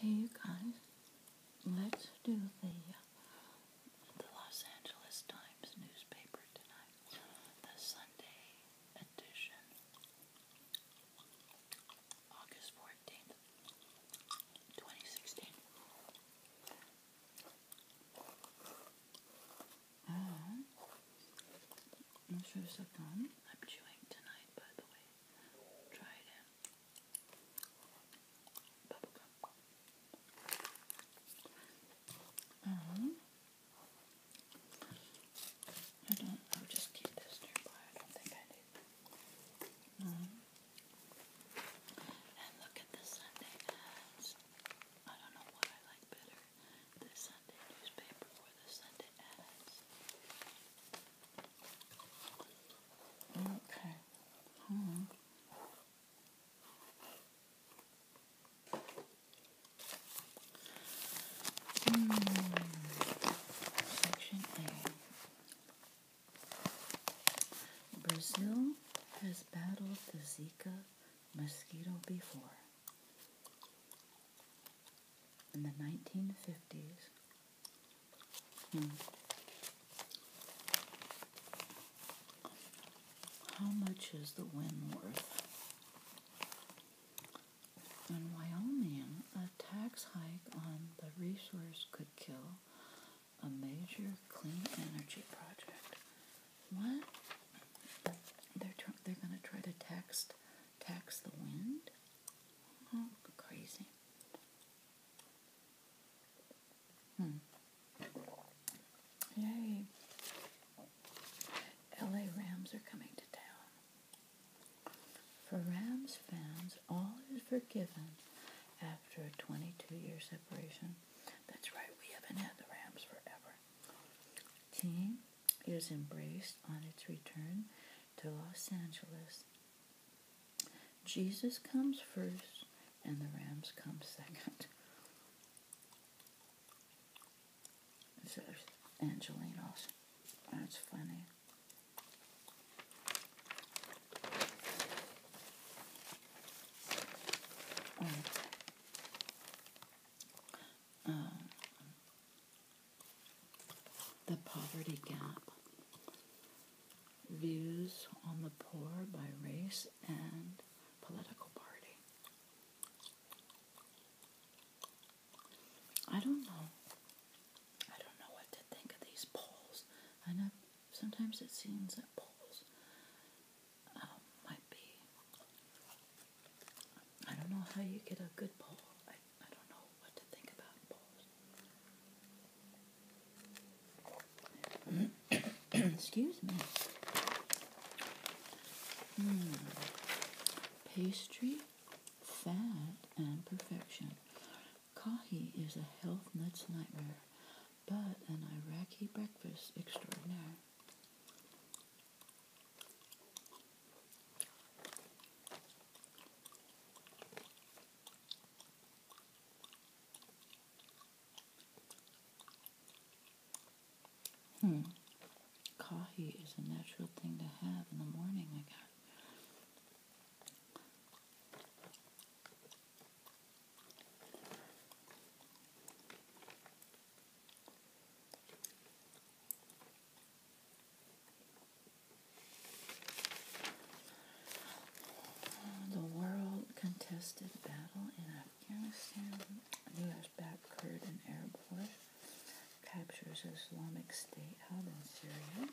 Hey you guys, let's do the Los Angeles Times newspaper tonight, the Sunday edition, August fourteenth, twenty sixteen. Oh, I'm chewing tonight, by the way. Try them. Bubblegum. Um, I don't. i just keep this nearby. I don't think I need. Mm-hmm. and look at the Sunday ads. I don't know what I like better: the Sunday newspaper or the Sunday ads. Okay. Hmm. hmm. Section A. Brazil has battled the Zika mosquito before in the 1950s. Hmm. How much is the wind worth? In Wyoming, a tax hike on the resource could kill a major clean energy project. What? They're they're going to try to tax tax the wind? Oh, crazy. Hmm. Yay. LA Rams are coming to town. For Rams fans, all is forgiven after a 22 year separation. That's right, we haven't had the Rams forever. Team is embraced on its return to Los Angeles. Jesus comes first, and the Rams come second. Says Angelinos. That's funny. Um, um, the Poverty Gap Views on the Poor by Race and Political Party. I don't know. I don't know what to think of these polls. I know sometimes it seems that polls um, might be. I don't know how you get a good poll. Excuse me. Hmm. Pastry, fat, and perfection. Kahi is a health nuts nightmare, but an Iraqi breakfast extraordinaire. Hmm. Coffee is a natural thing to have in the morning, I guess. The world contested battle in Afghanistan. U.S. backed Kurd and force captures Islamic State hub in Syria.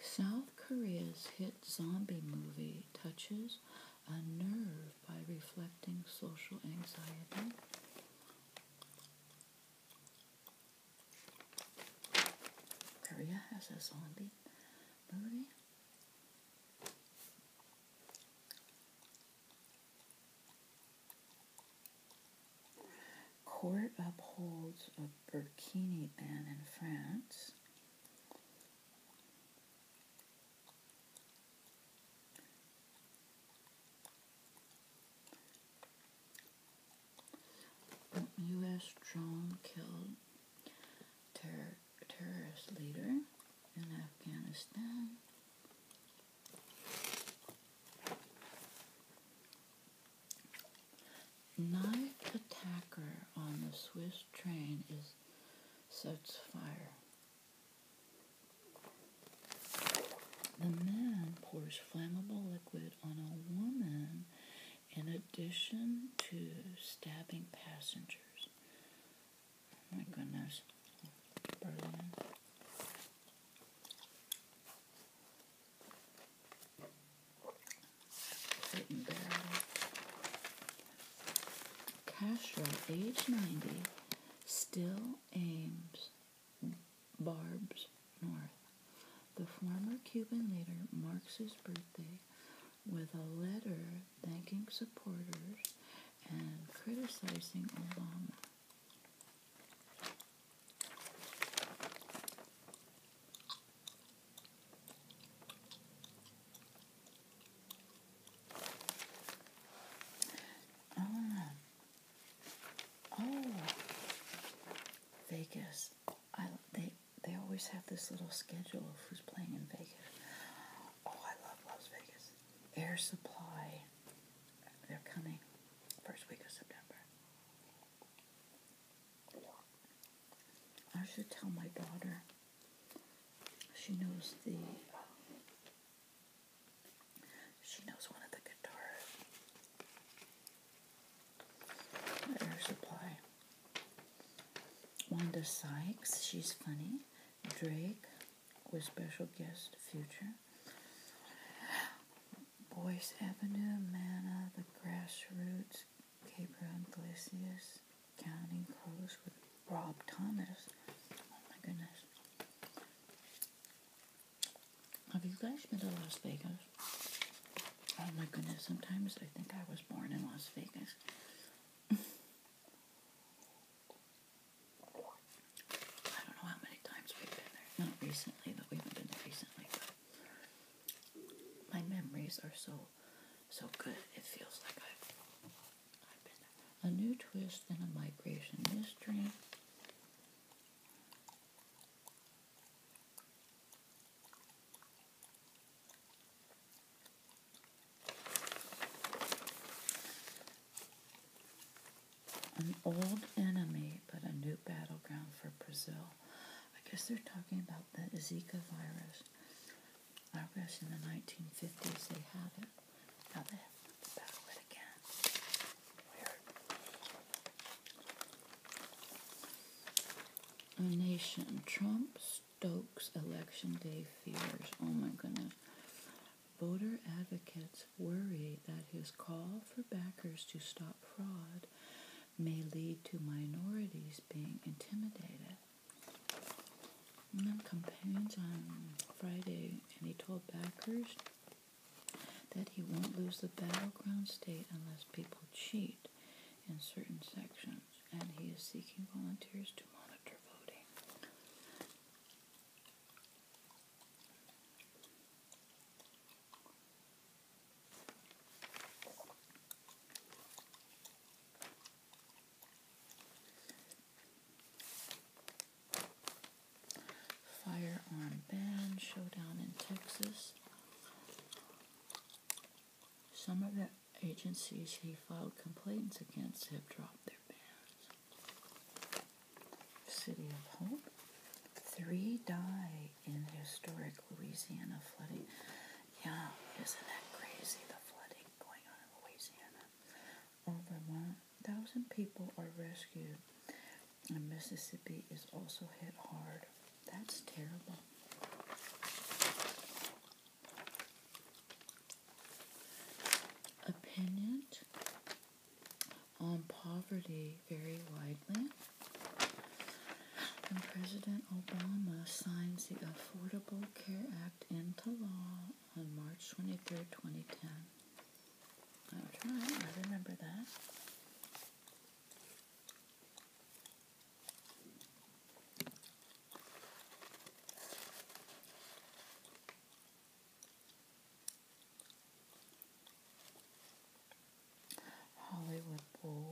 South Korea's hit zombie movie touches a nerve by reflecting social anxiety. Korea has a zombie movie. Court upholds a burkini ban in France. U.S. drone killed ter terrorist leader in Afghanistan. Knife attacker on the Swiss train sets fire. The man pours flammable liquid on a woman in addition to stabbing passengers. Oh my goodness. Berlin. Castro, age 90, still aims barbs north. The former Cuban leader marks his birthday with a letter thanking supporters and criticizing Obama. Um, oh, Vegas! I they they always have this little schedule of who's playing in Vegas. Oh, I love Las Vegas. Air Supply. They're coming first week of September. I should tell my daughter. She knows the she knows one of the guitar air supply. Wanda Sykes, she's funny. Drake with special guest Future. Boyce Avenue, Mana, The Grassroots, Gabriel Iglesias, Counting Crows with Rob Thomas. Oh my goodness. Have you guys been to Las Vegas? Oh my goodness, sometimes I think I was born in Las Vegas. I don't know how many times we've been there. Not recently, but we have been there recently. my memories are so, so good. It feels like I've a new twist in a migration mystery. An old enemy, but a new battleground for Brazil. I guess they're talking about the Zika virus. I guess in the 1950s they had it. Now they have to battle it again. A nation. Trump stokes election day fears. Oh my goodness. Voter advocates worry that his call for backers to stop fraud may lead to minorities being intimidated my companions on Friday, and he told backers that he won't lose the battleground state unless people cheat in certain sections, and he is seeking volunteers to monitor voting. Firearm ban showdown in Texas. Some of the agencies he filed complaints against have dropped their bans. City of Hope. Three die in historic Louisiana flooding. Yeah, isn't that crazy? The flooding going on in Louisiana. Over 1,000 people are rescued, and Mississippi is also hit hard. That's terrible. A on poverty very widely. And President Obama signs the Affordable Care Act into law on March 23rd, 2010. That's right, I remember that. Hollywood Bowl.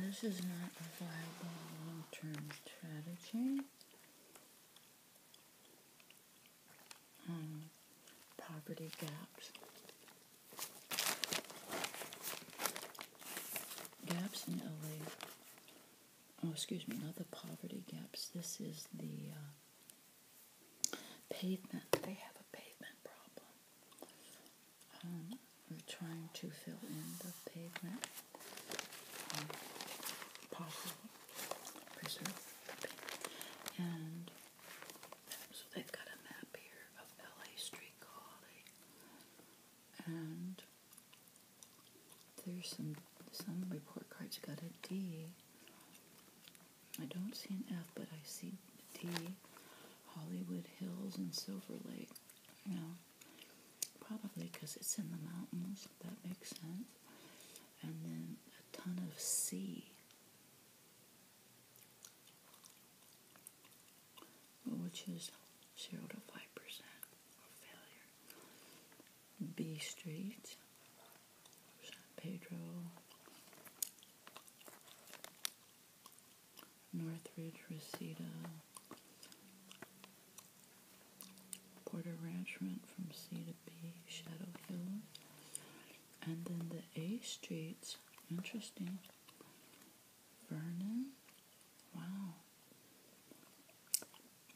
This is not a viable long term strategy. Um, poverty gaps. Gaps in LA. Oh, excuse me, not the poverty gaps. This is the uh, pavement. They have a pavement problem. Um, we're trying to fill in the pavement. Um, preserve the And so they've got a map here of LA street quality. And there's some some report cards got a D. I don't see an F, but I see D. Hollywood Hills and Silver Lake. You Probably because it's in the mountains, that makes sense. And then a ton of C, Which is 0 to 5% failure. B Street, San Pedro, Northridge, Reseda, Porter Ranch went from C to B, Shadow Hill, and then the A streets, interesting, Vernon, wow,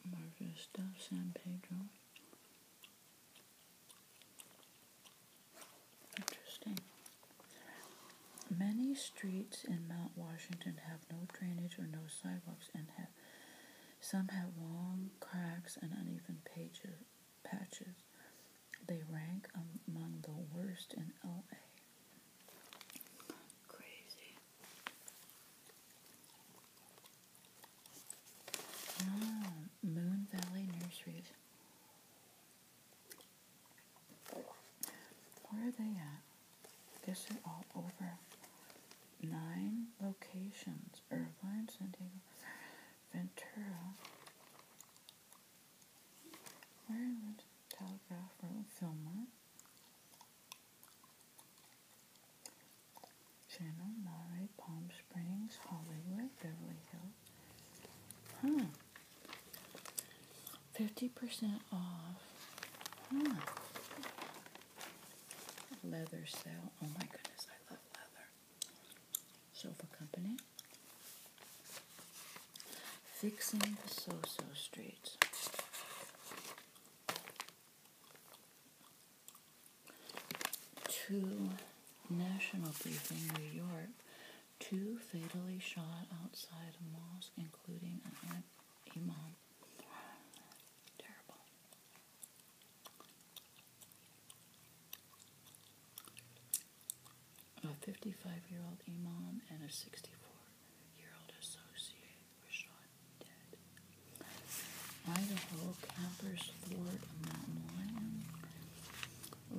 Marvin Stuff, San Pedro, interesting. Many streets in Mount Washington have no drainage or no sidewalks and have some have long cracks and uneven patches. They rank among the worst in LA. Crazy. Ah, Moon Valley Nurseries. Where are they at? This is all over nine locations Irvine, San Diego, Ventura, Maryland, Telegraph Road, Fillmore, Channel, Monterey, Palm Springs, Hollywood, Beverly Hills. Huh. 50% off. Leather sale. Oh my goodness, I love leather. Sofa Company. Fixing the So-So Streets. Two national briefing, New York. Two fatally shot outside a mosque, including an imam. A 55-year-old imam and a 64-year-old associate were shot dead. Idaho campers thwart a mountain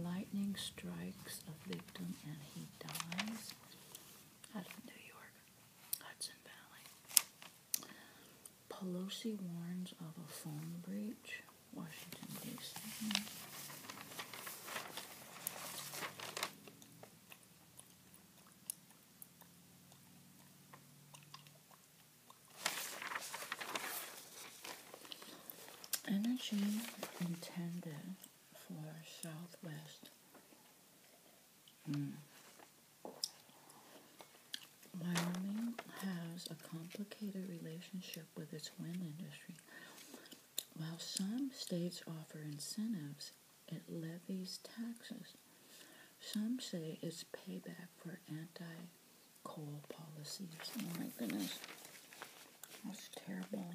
Lightning strikes a victim and he dies. Out of New York Pelosi warns of a phone breach. Washington, D.C. Energy intended for Southwest Wyoming has a complicated relationship with its wind industry. While some states offer incentives, it levies taxes. Some say it's payback for anti coal policies. Oh my goodness, that's terrible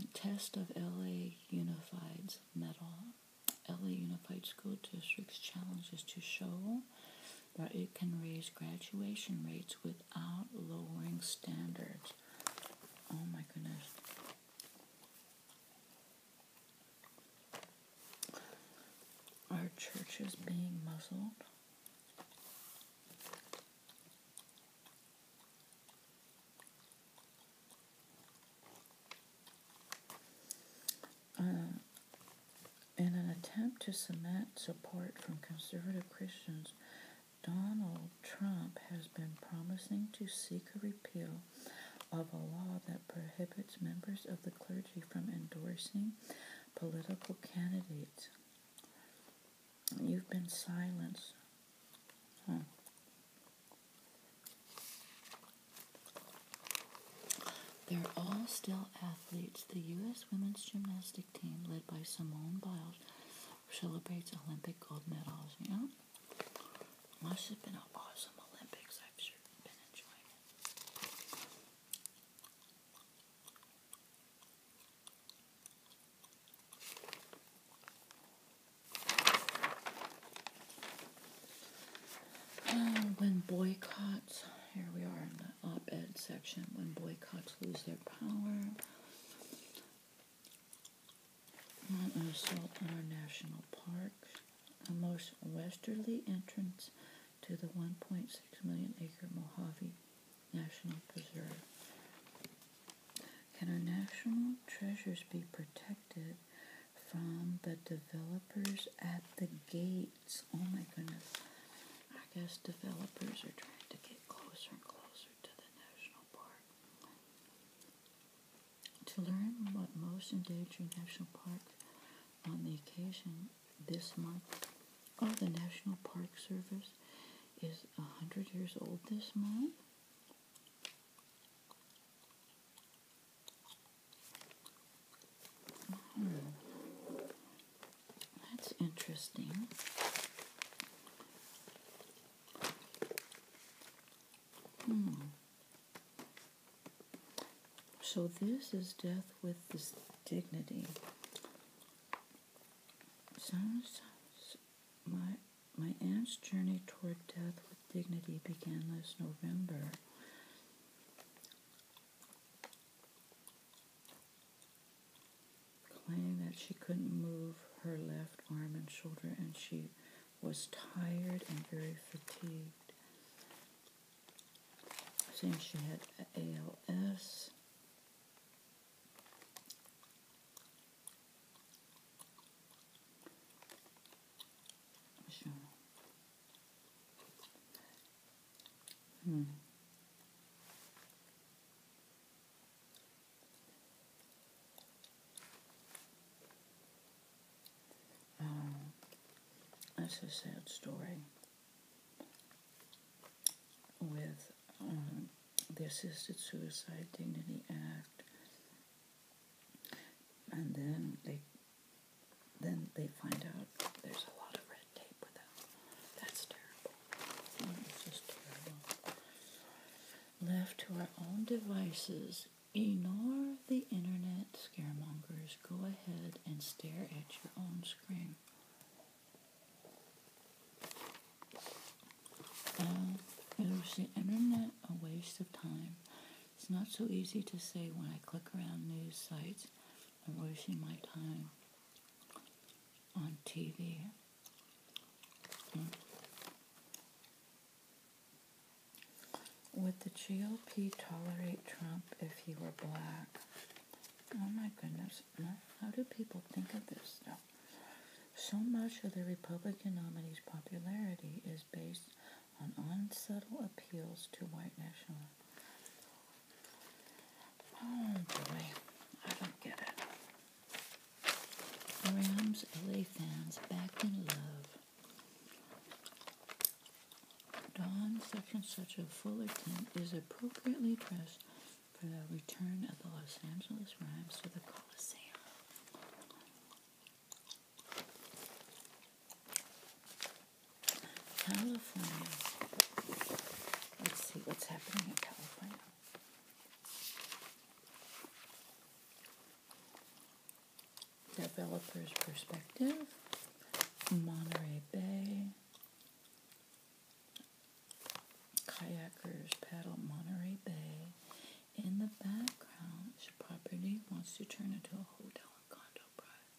a test of LA Unified's medal. LA Unified School District's challenge is to show that it can raise graduation rates without lowering standards. Oh my goodness. Our church is being muzzled. Uh, in an attempt to cement support from conservative Christians, Donald Trump has been promising to seek a repeal of a law that prohibits members of the clergy from endorsing political candidates. You've been silenced. They're all still athletes. The U.S. women's gymnastic team, led by Simone Biles, celebrates Olympic gold medals. You must have been an awesome Olympics. I've sure been enjoying it. Uh, when boycotts, here we are in the op ed section, when boycotts lose their power, an assault on our national parks, the most westerly entrance to the 1.6 million acre Mojave National Preserve. Can our national treasures be protected from the developers at the gates? Oh my goodness. I guess developers are trying to get closer and closer to the national park. To learn what most endangered national park on the occasion this month. Oh, the National Park Service is 100 years old this month. Hmm. That's interesting. Hmm. So this is death with this dignity. Sometimes my my aunt's journey toward death with dignity began last November. Claiming that she couldn't move her left arm and shoulder and she was tired and very fatigued. I she had ALS. Hmm. Um, that's a sad story with um, the Assisted Suicide Dignity Act, and then they then they find out there's a lot of red tape with that. That's terrible. it's just terrible. Left to our own devices, ignore the internet scaremongers go ahead and stare at your own screen. is um, the internet a waste of time? It's not so easy to say when I click around news sites, I'm wasting my time on TV. Would the GOP tolerate Trump if he were black? Oh my goodness. How do people think of this stuff? So much of the Republican nominee's popularity is based on unsubtle appeals to white nationalism. Oh boy, I don't get it. Rams LA fans back in love. Don, Section such of Fullerton, is appropriately dressed for the return of the Los Angeles Rhymes to the Coliseum. California. Let's see what's happening in California. Developer's perspective. Monterey Bay. Kayakers paddle Monterey Bay. In the background, the property wants to turn into a hotel and condo pride.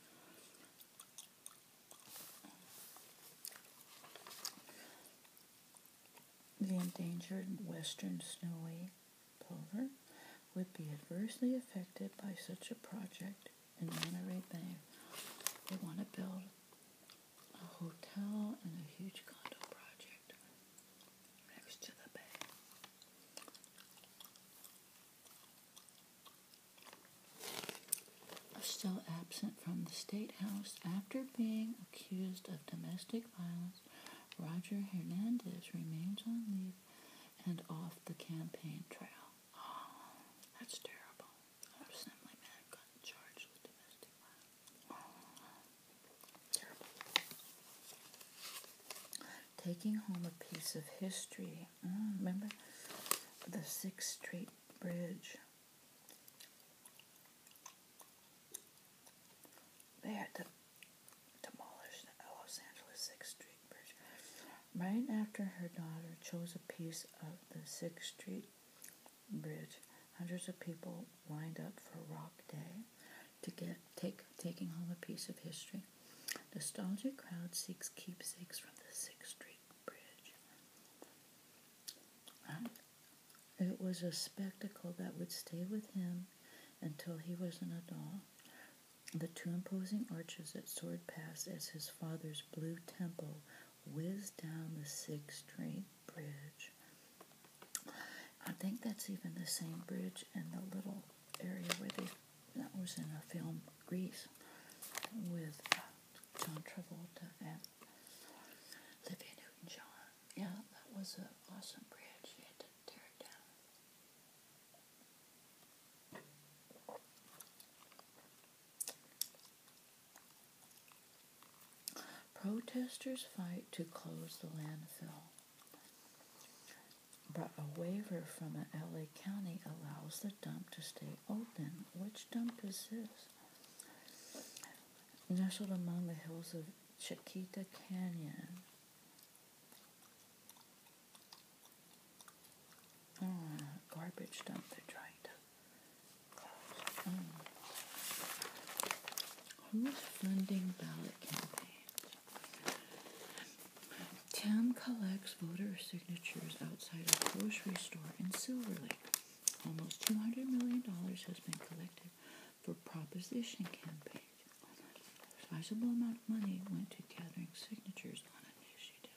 The endangered western snowy plover would be adversely affected by such a project in Monterey Bay. They want to build a hotel and a huge condo project next to the bay. Still absent from the state house after being accused of domestic violence, Roger Hernandez remains on leave and off the campaign trail. Oh, that's terrible. I was got charged with domestic violence. Oh, terrible. Taking home a piece of history. Mm, remember the Sixth Street Bridge. They had to demolish the Los Angeles Sixth Street Right after her daughter chose a piece of the 6th Street Bridge, hundreds of people lined up for Rock Day to get take taking home a piece of history. Nostalgic crowd seeks keepsakes from the 6th Street Bridge. it was a spectacle that would stay with him until he was an adult. The two imposing arches that soared past as his father's blue temple whizzed down the Sixth Street Bridge. I think that's even the same bridge in the little area where they that was in a film Greece with uh, John Travolta and Olivia Newton-John. Yeah, that was an awesome bridge. tear it down. Protesters fight to close the landfill, but a waiver from an LA county allows the dump to stay open. Which dump is this? Nestled among the hills of Chiquita Canyon, Mm, garbage dump they're trying to close. Mm. funding ballot campaign. Tim collects voter signatures outside a grocery store in Silver Lake. Almost $200 million has been collected for proposition campaign. A sizable amount of money went to gathering signatures on an initiative.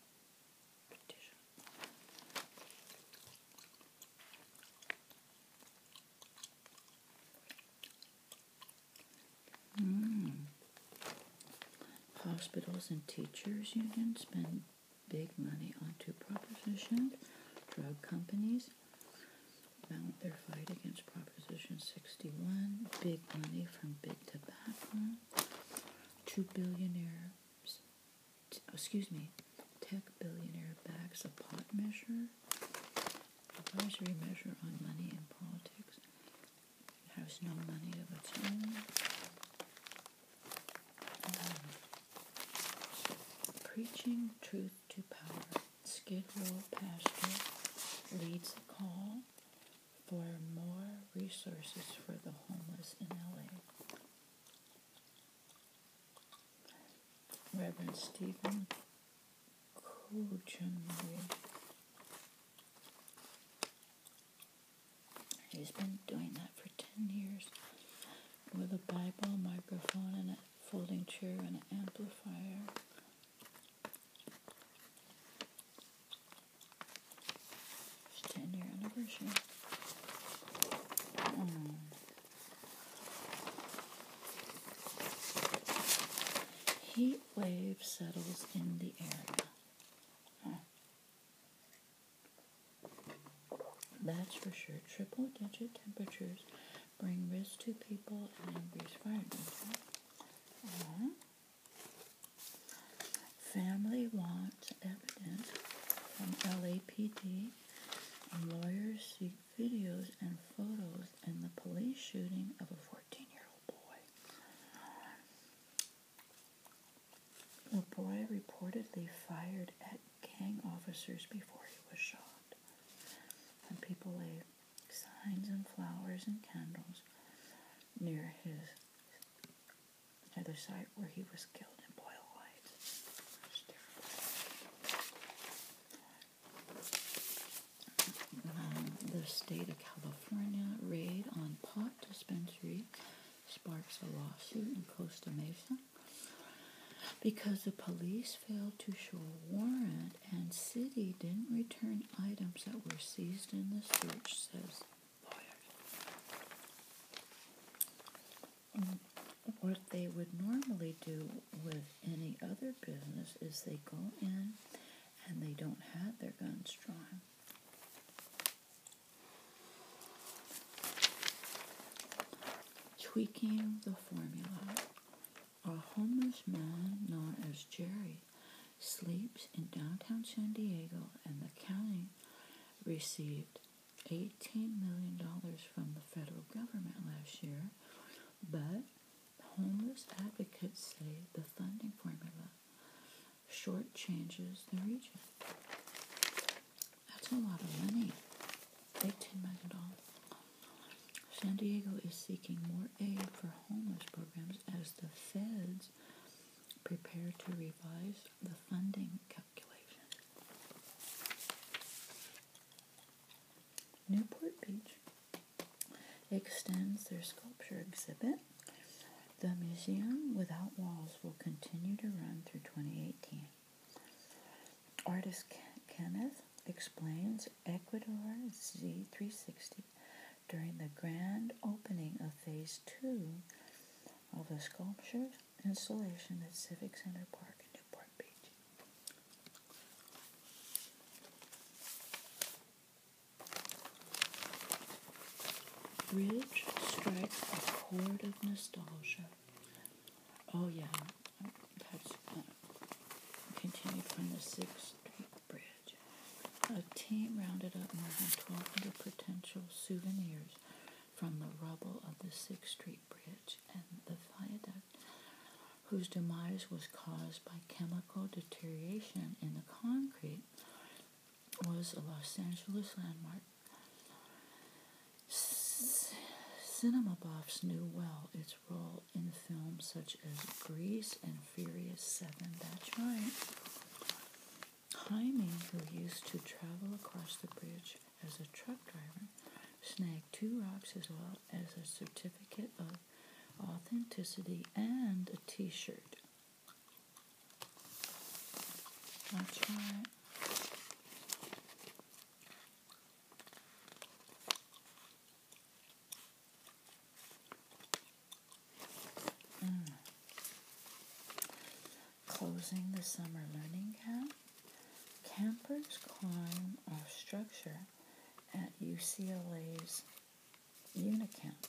Hmm. Hospitals and teachers' unions spend big money on two propositions. Drug companies mount their fight against Proposition 61. Big money from big tobacco. to billionaire excuse me, tech billionaire backs a pot measure, advisory measure on money in politics, has no money of its own. Um, preaching truth to power, Skid Row pastor leads the call, for more resources for the homeless in LA. Reverend Stephen Kuchenry. He's been doing that for 10 years with a Bible, microphone, and a folding chair and an amplifier. Hmm. Heat wave settles in the area. That's for sure. Triple digit temperatures bring risk to people and increase fire danger. Uh-huh. Family wants evidence from LAPD, and lawyers seek videos and photos in the police shooting of a 14 year old boy. The boy reportedly fired at gang officers before he was shot. And people laid signs and flowers and candles near his the other site where he was killed in Boyle Light. Um, the state of California raid on pot dispensary sparks a lawsuit in Costa Mesa because the police failed to show a warrant and city didn't return items that were seized in the search, says Mm. What they would normally do with any other business is they go in and they don't have their guns drawn. Tweaking the formula. A homeless man known as Jerry sleeps in downtown San Diego and the county received $18 million from the federal government last year, but homeless advocates say the funding formula shortchanges the region. That's a lot of money. $18 million. San Diego is seeking more aid for homeless programs as the feds Prepare to revise the funding calculation. Newport Beach extends their sculpture exhibit. The Museum Without Walls will continue to run through 2018. Artist Kenneth explains Ecuador Z360 during the grand opening of Phase 2 of a sculpture installation at Civic Center Park in Newport Beach. Ridge strikes a chord of nostalgia. Oh, yeah, that's uh, continued from the 6th Street Bridge. A team rounded up more than 1,200 potential souvenirs from the rubble of the 6th Street Bridge and the viaduct, whose demise was caused by chemical deterioration in the concrete, was a Los Angeles landmark. Cinema buffs knew well its role in films such as Grease and Furious Seven. That's right. Jaime, who used to travel across the bridge as a truck driver, snagged two rocks as well as a certificate of authenticity and a t shirt. I'll Closing the summer learning camp, Campers climb our structure at UCLA's Unicamp.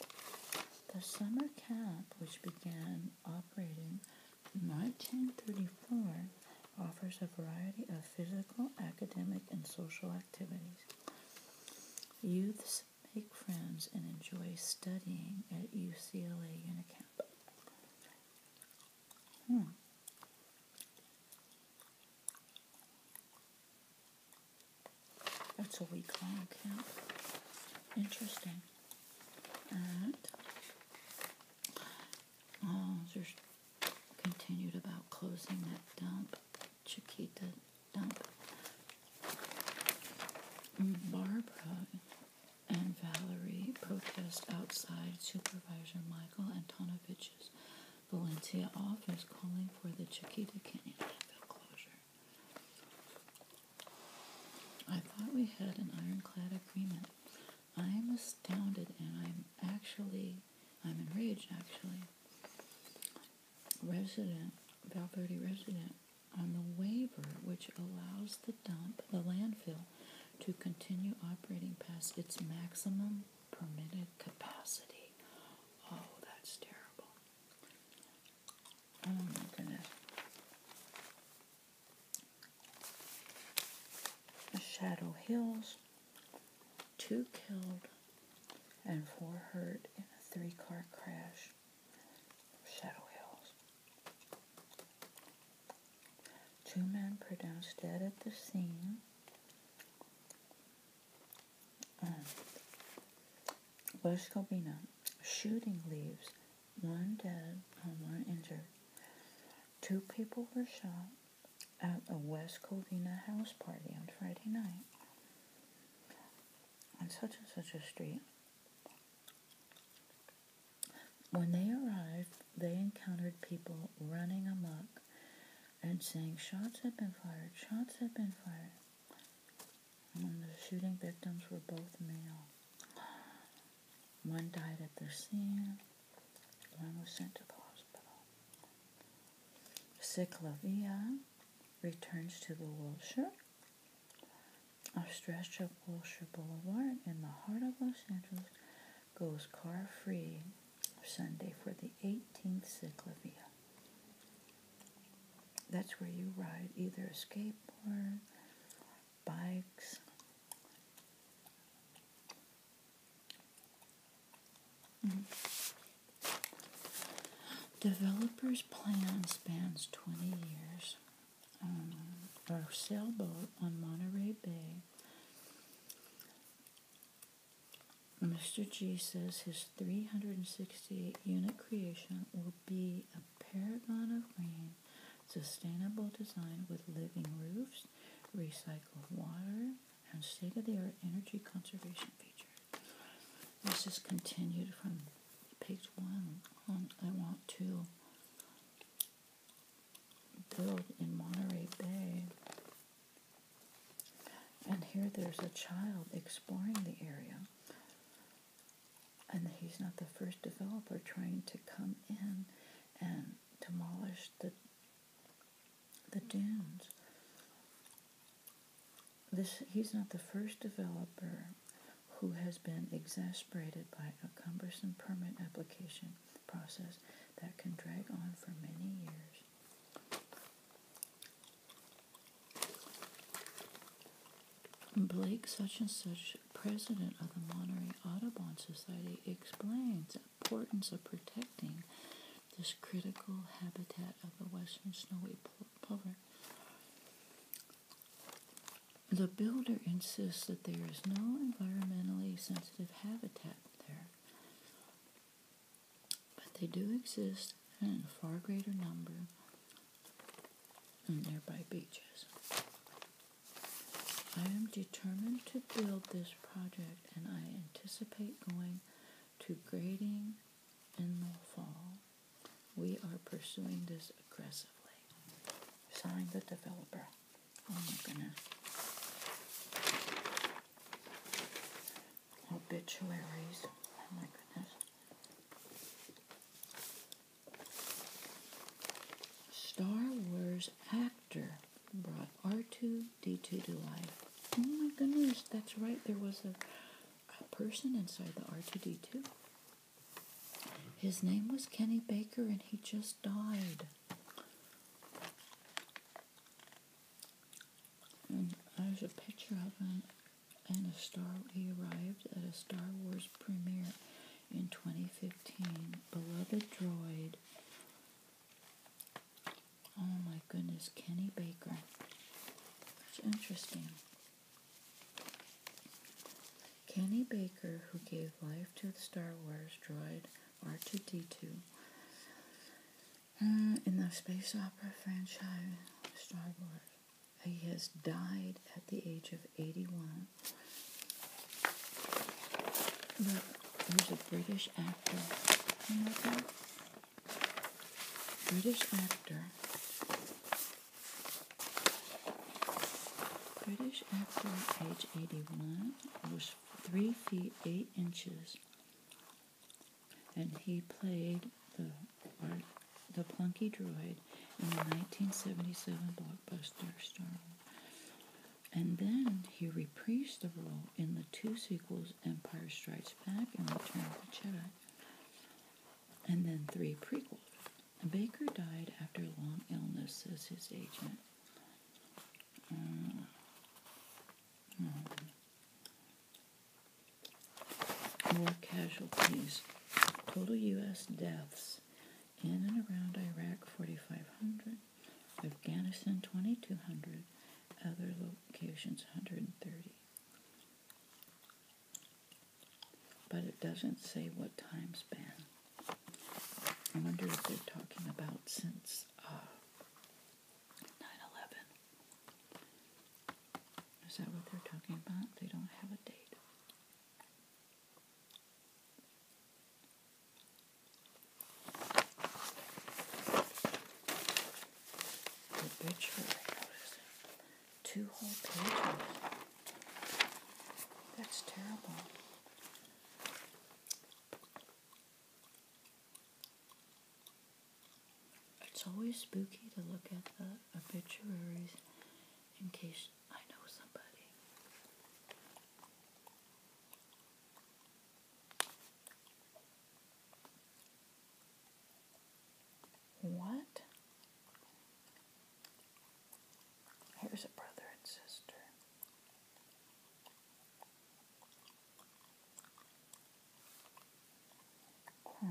The summer camp, which began operating in 1934, offers a variety of physical, academic, and social activities. Youths make friends and enjoy studying at UCLA Unicamp. Hmm. That's a week long account. Interesting. Alright. Oh, there's continued about closing that dump. Chiquita dump. Mm, Barbara and Valerie protest outside Supervisor Michael Antonovich's Valencia office calling for the Chiquita Canyon landfill closure. I thought we had an ironclad agreement. I am astounded and I'm actually, I'm enraged actually. Resident, Valverde resident, on the waiver which allows the dump, the landfill, to continue operating past its maximum permitted capacity. Oh, that's terrible. Oh my goodness. Shadow Hills, two killed and four hurt in a three car crash Shadow Hills. Two men pronounced dead at the scene. Um, West Covina. Shooting leaves. One dead and um, one injured. Two people were shot at a West Covina house party on Friday night on such and such a street. When they arrived, they encountered people running amok and saying, Shots have been fired, shots have been fired. the shooting victims were both male. One died at the scene, one was sent to the hospital. Ciclovia returns to the Wilshire a stretch of Wilshire Boulevard in the heart of Los Angeles goes car free Sunday for the 18th CicLAvia. That's where you ride either a skateboard, bikes, Developers' plan spans 20 years um, our sailboat on Monterey Bay. Mr. G says his 368 unit creation will be a paragon of green, sustainable design with living roofs, recycled water, and state of the art energy conservation features. This is continued from page one I want to build in Monterey Bay. And here there's a child exploring the area. And he's not the first developer trying to come in and demolish the, the dunes. This, he's not the first developer who has been exasperated by a cumbersome permit application process that can drag on for many years. Blake, such and such, president of the Monterey Audubon Society, explains the importance of protecting this critical habitat of the western snowy plover. The builder insists that there is no environmentally sensitive habitat there, but they do exist in a far greater number in nearby beaches. I am determined to build this project and I anticipate going to grading in the fall. We are pursuing this aggressively. Sign the developer. Oh my goodness. Obituaries. Oh my goodness. Star Wars actor brought R2D2 to life. Oh my goodness, that's right. There was a, a person inside the R2D2. His name was Kenny Baker, and he just died. And there's a picture of him and a star. He arrived at a Star Wars premiere in 2015. Beloved droid. Oh my goodness, Kenny Baker. It's interesting. Kenny Baker, who gave life to the Star Wars droid R2D2 uh, in the space opera franchise Star Wars. He has died at the age of 81. Look, there's a British actor. British actor British actor, age 81, was 3 feet 8 inches, and he played the, the Plunky Droid in the 1977 blockbuster Star Wars. And then he reprised the role in the two sequels, Empire Strikes Back and Return of the Jedi, and then three prequels. Baker died after a long illness, says his agent. Uh, hmm. more casualties. Total U.S. deaths in and around Iraq 4,500, Afghanistan 2,200, other locations 130. But it doesn't say what time span. I wonder if they're talking about since uh, Is that what they're talking about? They don't have a date. Two whole pages. That's terrible. It's always spooky to look at the obituaries in case I know somebody. What? Here's a brother and sister. Hmm.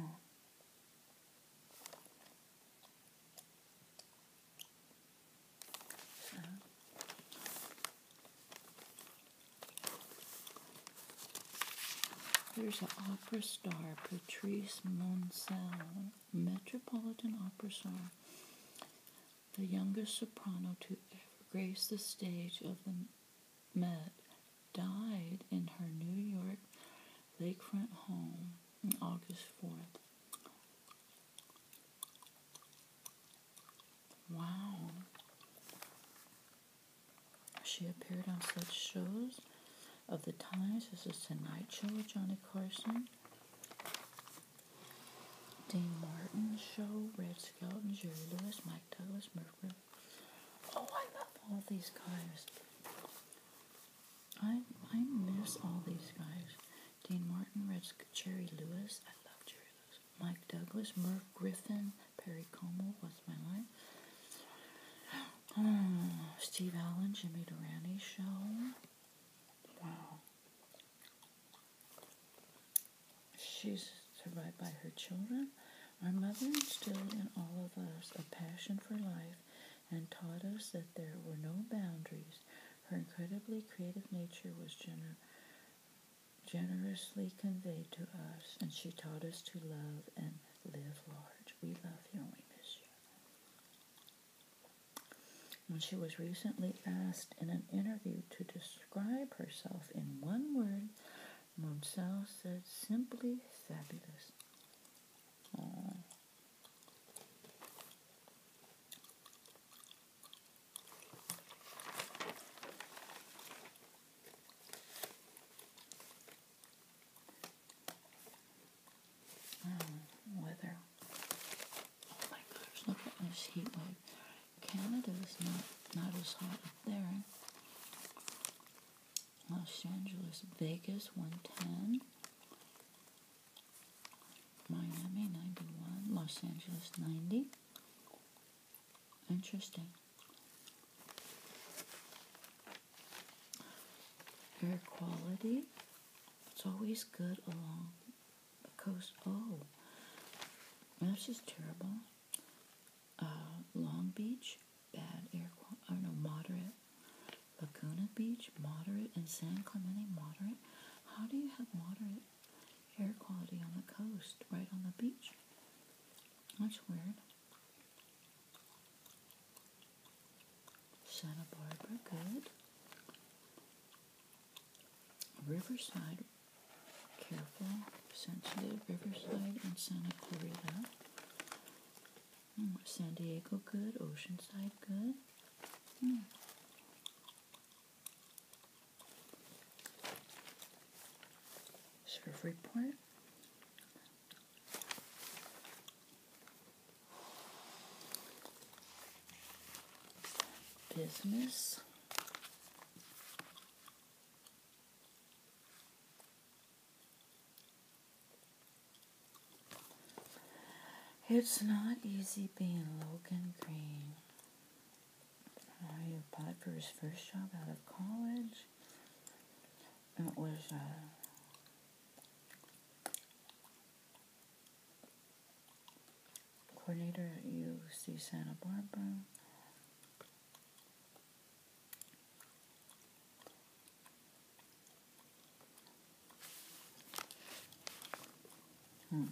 Here's an opera star, Patrice Monsell, Metropolitan Opera Star the youngest soprano to ever grace the stage of the Met, died in her New York lakefront home on August 4th. Wow. She appeared on such shows of the times as The Tonight Show with Johnny Carson, Dean Martin Show, Red Skelton, Jerry Lewis, Mike Douglas, Mercury. Oh, I love all these guys. I I miss all these guys. Dean Martin, Red Jerry Lewis. I love Jerry Lewis. Mike Douglas, Merv Griffin, Perry Como. What's my life? Ah, Steve Allen, Jimmy Durante show. Wow. She's survived by her children. Our mother instilled in all of us a passion for life and taught us that there were no boundaries. Her incredibly creative nature was generously conveyed to us, and she taught us to love and live large. We love you and we miss you. When she was recently asked in an interview to describe herself in one word, Monsell said simply fabulous. weather. Oh my gosh, look at this heat wave. Canada is not, not as hot up there. Los Angeles, Vegas, 110. Miami, 91. Los Angeles, 90. Interesting. Air quality, it's always good along Coast. oh, that's just terrible. Uh, Long Beach, bad air quality, oh know moderate. Laguna Beach, moderate. And San Clemente, moderate. How do you have moderate air quality on the coast, right on the beach? That's weird. Santa Barbara, good. Riverside, careful, sensitive, Riverside and Santa Clarita. Hmm, San Diego, good. Oceanside, good. Mm. Surf business. It's not easy being Logan Green. I applied for his first job out of college. It was a uh, coordinator at UC Santa Barbara. Hmm.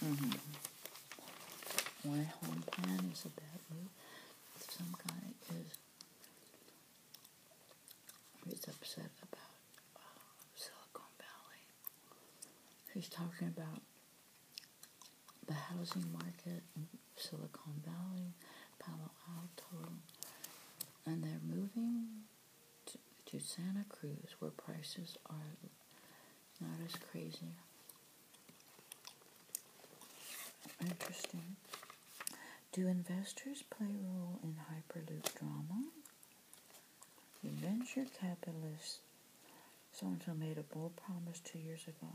Mm -hmm. Why home plan is a bad move some kind is he's upset about uh, Silicon Valley. He's talking about the housing market in Silicon Valley, Palo Alto, and they're moving to, Santa Cruz where prices are not as crazy. Interesting. Do investors play a role in Hyperloop drama? venture capitalists so-and-so made a bold promise two years ago.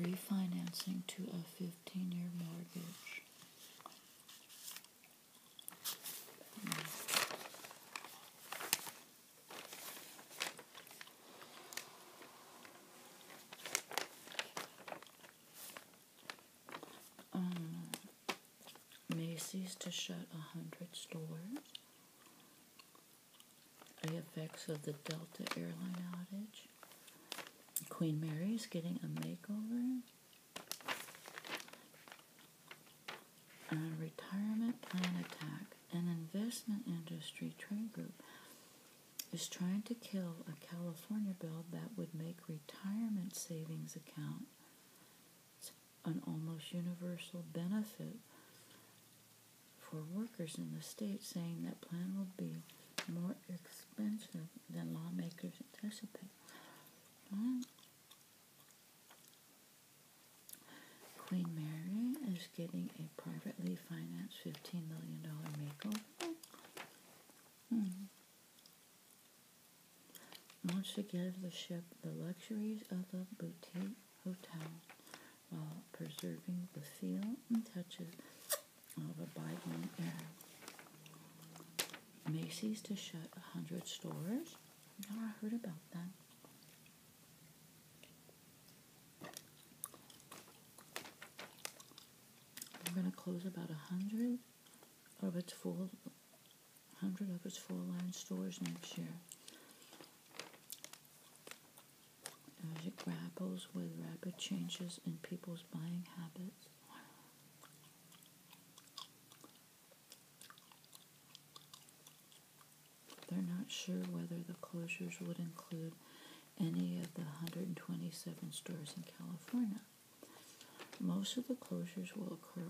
Refinancing to a fifteen year mortgage. Um, Macy's to shut a hundred stores. The effects of the Delta airline outage. Queen Mary's getting a makeover. A retirement plan attack. An investment industry trade group is trying to kill a California bill that would make retirement savings account an almost universal benefit for workers in the state, saying that plan will be more expensive than lawmakers anticipate. Queen Mary is getting a privately financed $15 million makeover. Hmm wants to give the ship the luxuries of a boutique hotel while preserving the feel and touches of a bygone era. Macy's to shut 100 stores. I heard about that. We're going to close about 100 of its full hundred of its full line stores next year as it grapples with rapid changes in people's buying habits. They're not sure whether the closures would include any of the 127 stores in California. Most of the closures will occur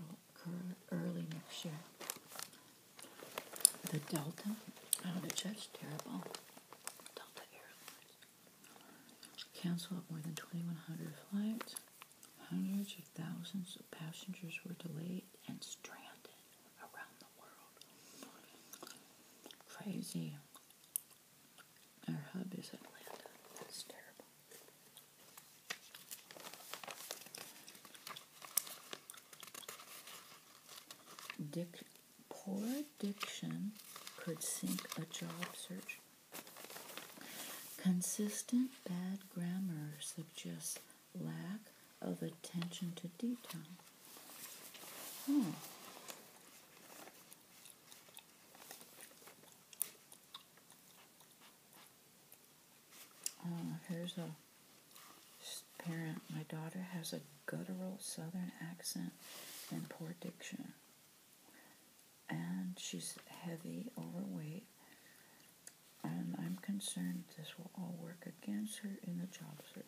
early next year. The Delta, oh, that's just terrible. Delta Airlines canceled more than 2,100 flights. Hundreds of thousands of passengers were delayed and stranded around the world. Crazy. Our hub is Atlanta. That's terrible. Dic poor diction could sink a job search. Consistent bad grammar suggests lack of attention to detail. Hmm. Uh, here's a parent. My daughter has a guttural southern accent and poor diction. And she's heavy, overweight, and I'm concerned this will all work against her in the job search.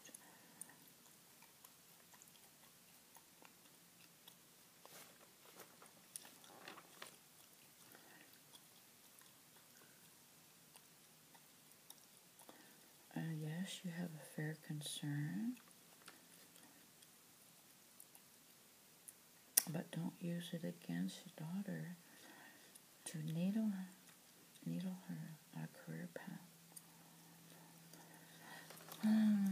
Uh, yes, you have a fair concern. But don't use it against your daughter to needle, needle her a career path. Hmm.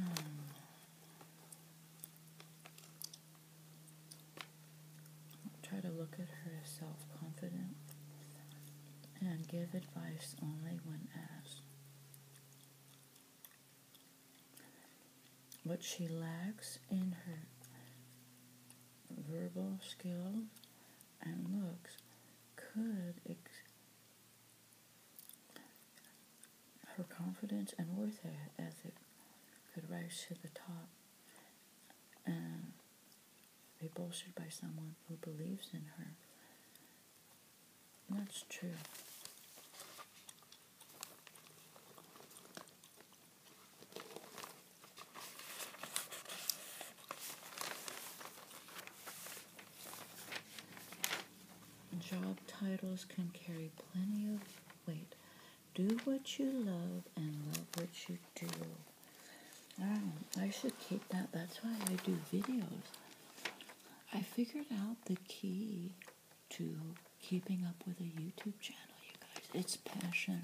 Try to look at her self confident and give advice only when asked. What she lacks in her verbal skill and looks could her confidence and worth as it could rise to the top uh, um, be bolstered by someone who believes in her. that's true. Job titles can carry plenty of weight do what you love and love what you do. I should keep that. That's why I do videos. I figured out the key to keeping up with a YouTube channel, you guys. It's passion.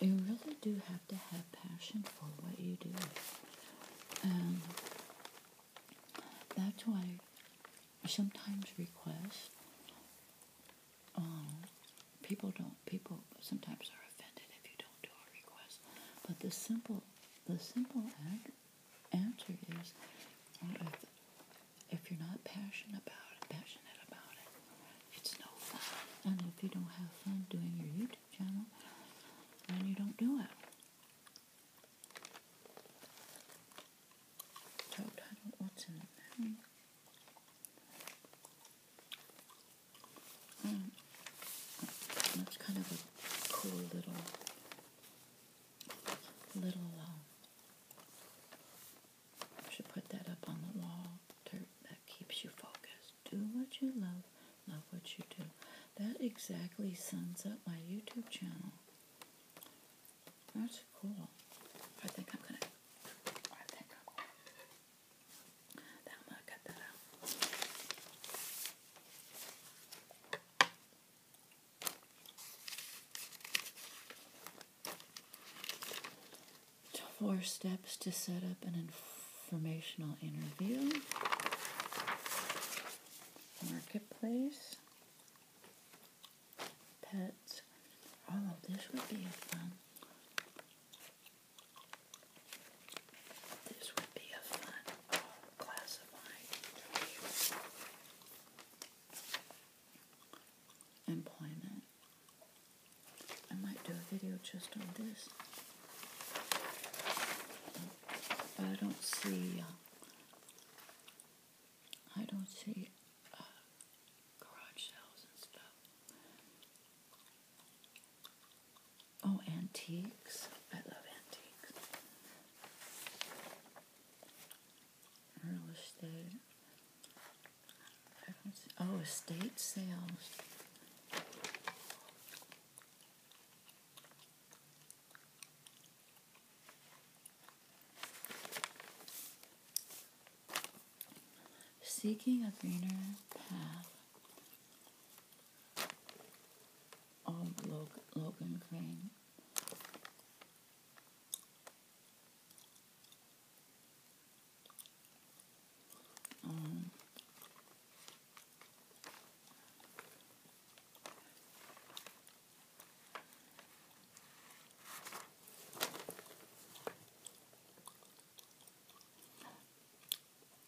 You really do have to have passion for what you do. And that's why I sometimes request um, people don't people sometimes are offended if you don't do a request. But the simple the simple answer is if, you're not passionate about it, passionate about it, it's no fun. And if you don't have fun doing your YouTube channel, then you don't do it. what's in it? Mm. That's kind of a cool little little uh, should put that up on the wall that keeps you focused. Do what you love, love what you do. That exactly sums up my YouTube channel. That's cool. I think I'm gonna. I think I'm gonna. cut that out. Four steps to set up an informational interview. Marketplace pets. Oh, this would be fun. This would be a fun oh, Employment. I might do a video just on this. But I don't see. Uh, I don't see uh, garage sales and stuff. Oh, antiques. I love antiques. Real estate. oh, estate sales. Seeking a greener path. Oh, Logan, Logan Crane. Um,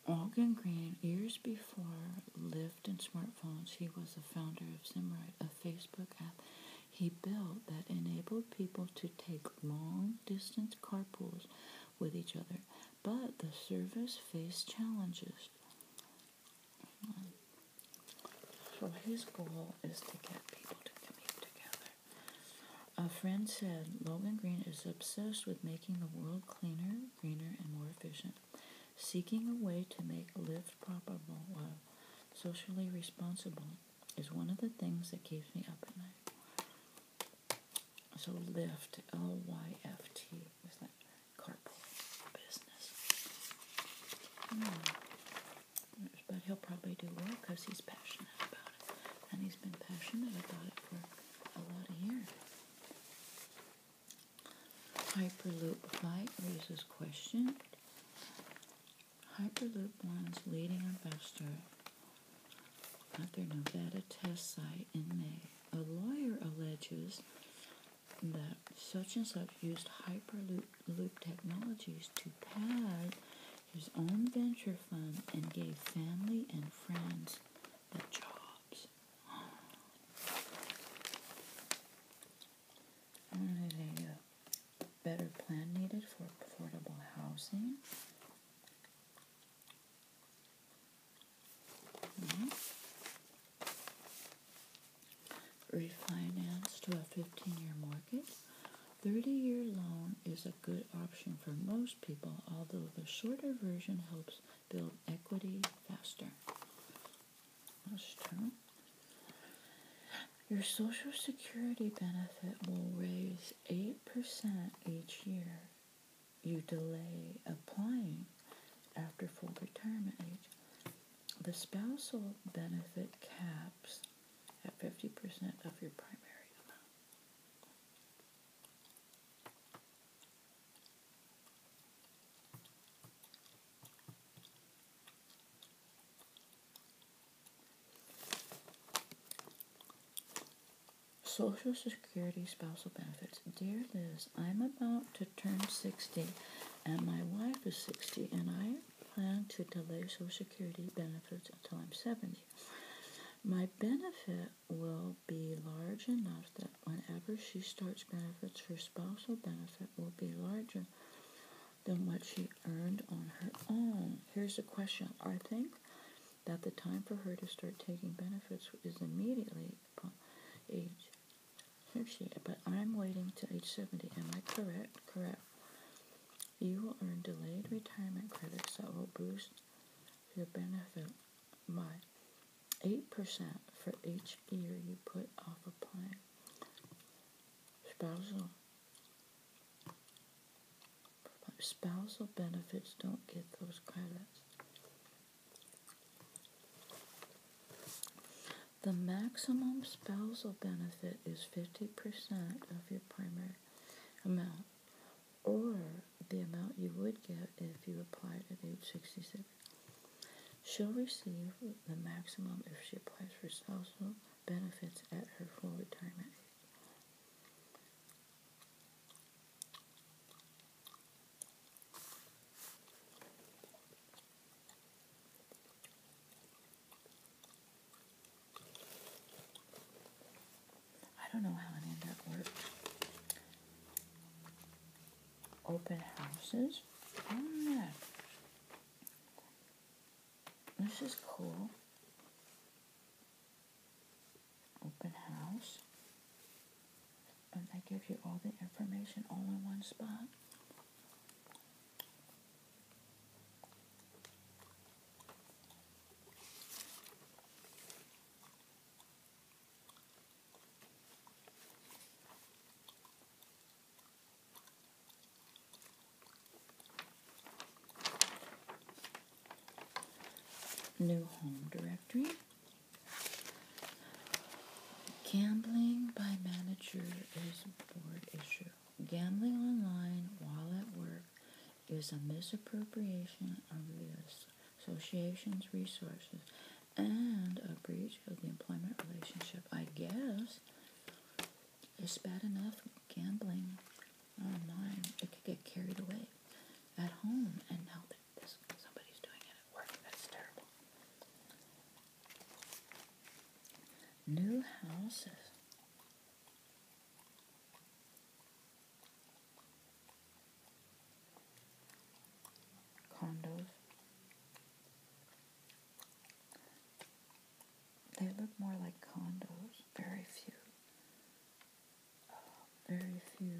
Algan Green, years before Lyft and smartphones, he was the founder of Simrite, a Facebook app he built that enabled people to take long distance car pools with each other. But the service faced challenges. So his goal is to get people to commute together. A friend said, Logan Green is obsessed with making the world cleaner, greener, and more efficient, seeking a way to make live profitable while socially responsible is one of the things that keeps me up at night. So Lyft, L-Y-F-T, is that carpool business. Hmm. But he'll probably do well because he's passionate about it. And he's been passionate about it for a lot of years. Hyperloop flight raises question. Hyperloop One's leading investor at their Nevada test site in May. A lawyer alleges that such and such used Hyperloop technologies to pad his own venture fund and gave family and friends the jobs. I a better plan needed for affordable housing. Hmm? Refinance to a 15 year mortgage. 30 year loan is a good option for most people, although the shorter version helps build equity faster. Your Social Security benefit will raise 8% each year. You delay applying after full retirement age. The spousal benefit caps at 50% of your primary amount. Social Security spousal benefits. Dear Liz, I'm about to turn 60 and my wife is 60 and I plan to delay Social Security benefits until I'm 70. My benefit will be large enough that whenever she starts benefits, her spousal benefit will be larger than what she earned on her own. Here's a question I think that the time for her to start taking benefits is immediately upon age 50, but I'm waiting to age 70. Am I correct? Correct. You will earn delayed retirement credits that will boost your benefit by 8% for each year you put off applying. Spousal spousal benefits don't get those credits. The maximum spousal benefit is 50% of your primary amount or the amount you would get if you applied at age sixty She'll receive the maximum if she applies for social benefits at her full retirement age. I don't know how any of that worked. Open houses. Mm, this is cool. Open house. And that gives you all the information all in one spot. New home directory. Gambling by manager is board issue. Gambling online while at work is a misappropriation of the association's resources and a breach of the employment relationship. I guess it's bad enough gambling online. It could get carried away at home, and now that somebody's doing it at work, that's terrible. New houses condos. They look more like condos. Very few. Um, very few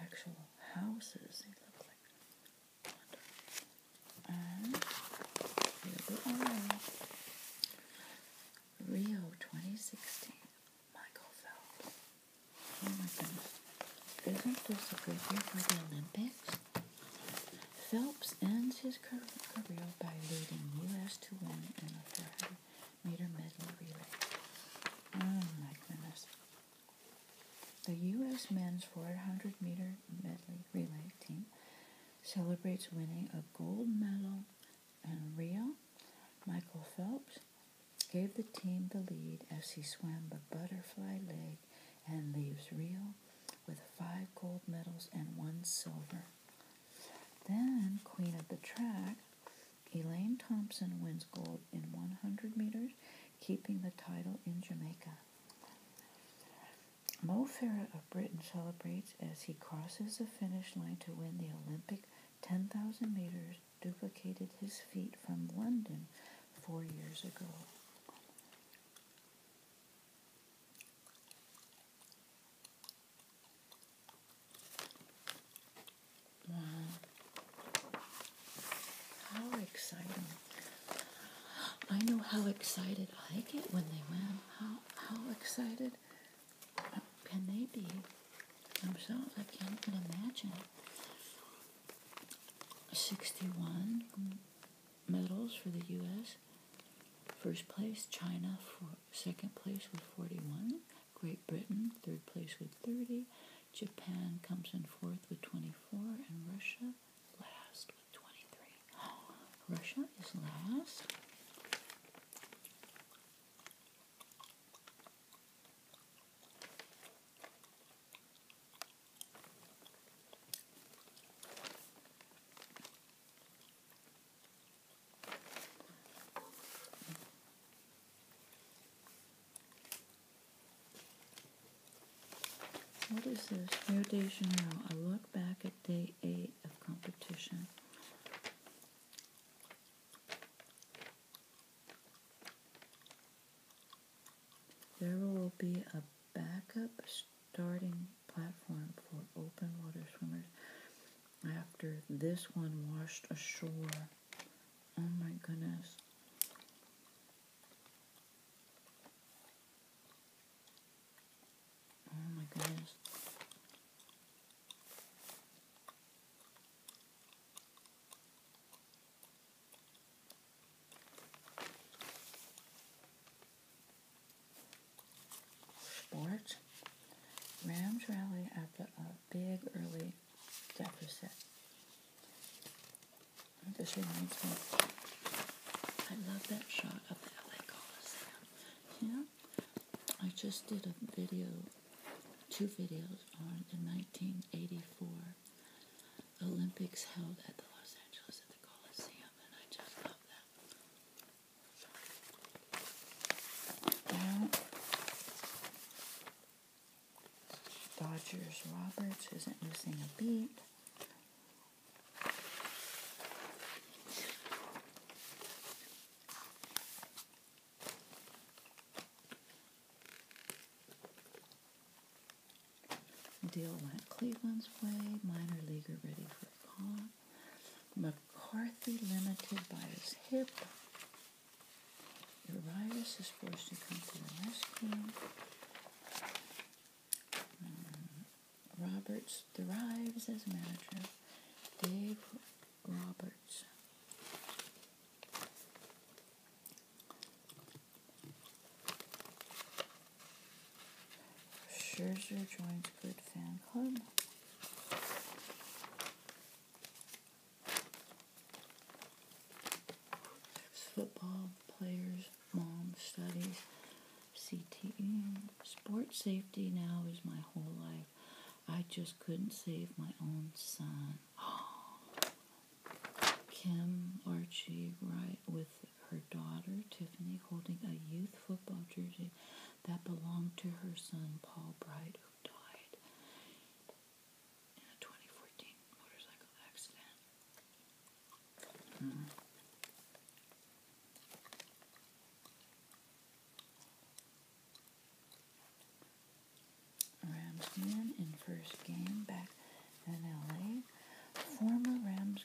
actual houses. They look like condos. And the other one Rio 2016, Michael Phelps. Oh my goodness. Isn't this a good year for the Olympics? Phelps ends his career by leading U.S. to win in the 400 meter medley relay. Oh my goodness. The U.S. men's 400 meter medley relay team celebrates winning a gold medal and Rio, Michael Phelps gave the team the lead as he swam the butterfly leg and leaves Rio with five gold medals and one silver. Then, Queen of the Track, Elaine Thompson wins gold in 100 meters, keeping the title in Jamaica. Mo Farah of Britain celebrates as he crosses the finish line to win the Olympic 10,000 meters, duplicated his feat from London four years ago. Wow. How exciting. I know how excited I get when they win. How, how excited can they be themselves? I can't even imagine. 61 medals for the U.S. First place, China, second place with 41. Great Britain, third place with 30. Japan comes in fourth with 24. And Russia, last with 23. Russia is last. What is this? Rio now? I look back at day eight of competition. There will be a backup starting platform for open water swimmers after this one washed ashore. Oh my goodness. Oh my goodness. Sport. Rams rally after a uh, big early deficit. This reminds me. I love that shot of the LA Coliseum. You I just did a video, two videos on the 1984 Olympics held at the Los Angeles at the Coliseum, and I just love them. Dodgers Roberts isn't missing a beat. Deal went Cleveland's way. Minor leaguer ready for call. McCarthy limited by his hip. Urias is forced to come to the rescue. Um, Roberts thrives as manager. Dave Roberts. Scherzer joins good fan club. Football players, mom studies, CTE. Sports safety now is my whole life. I just couldn't save my own son. Kim Archie Wright with her daughter Tiffany holding a youth football jersey that belonged to her son Paul Bright, who died in a 2014 motorcycle accident. Hmm. Rams in first game back in LA. Former Rams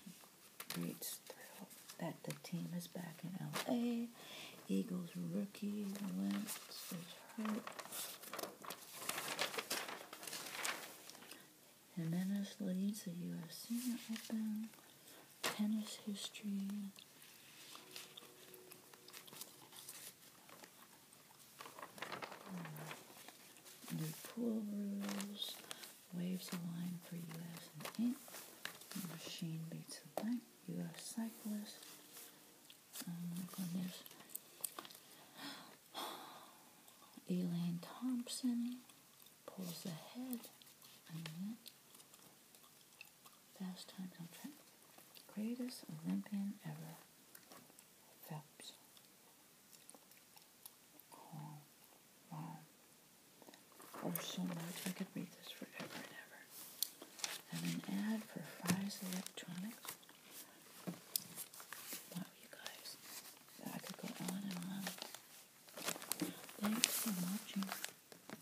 greats thrilled that the team is back in LA. Eagles rookie Wentz is hurt. Jimenez leads the U.S. Senior Open tennis history. Hmm. new pool rules. Waves align for U.S. and Inc. Machine beats the blank. U.S. cyclist. Oh my goodness. Elaine Thompson pulls ahead. Fast times on track. Greatest Olympian ever. Phelps. Oh, wow. There's so much. I could read this forever and ever. And an ad for Fry's Electronics. Wow, you guys. I could go on and on. Thanks for watching.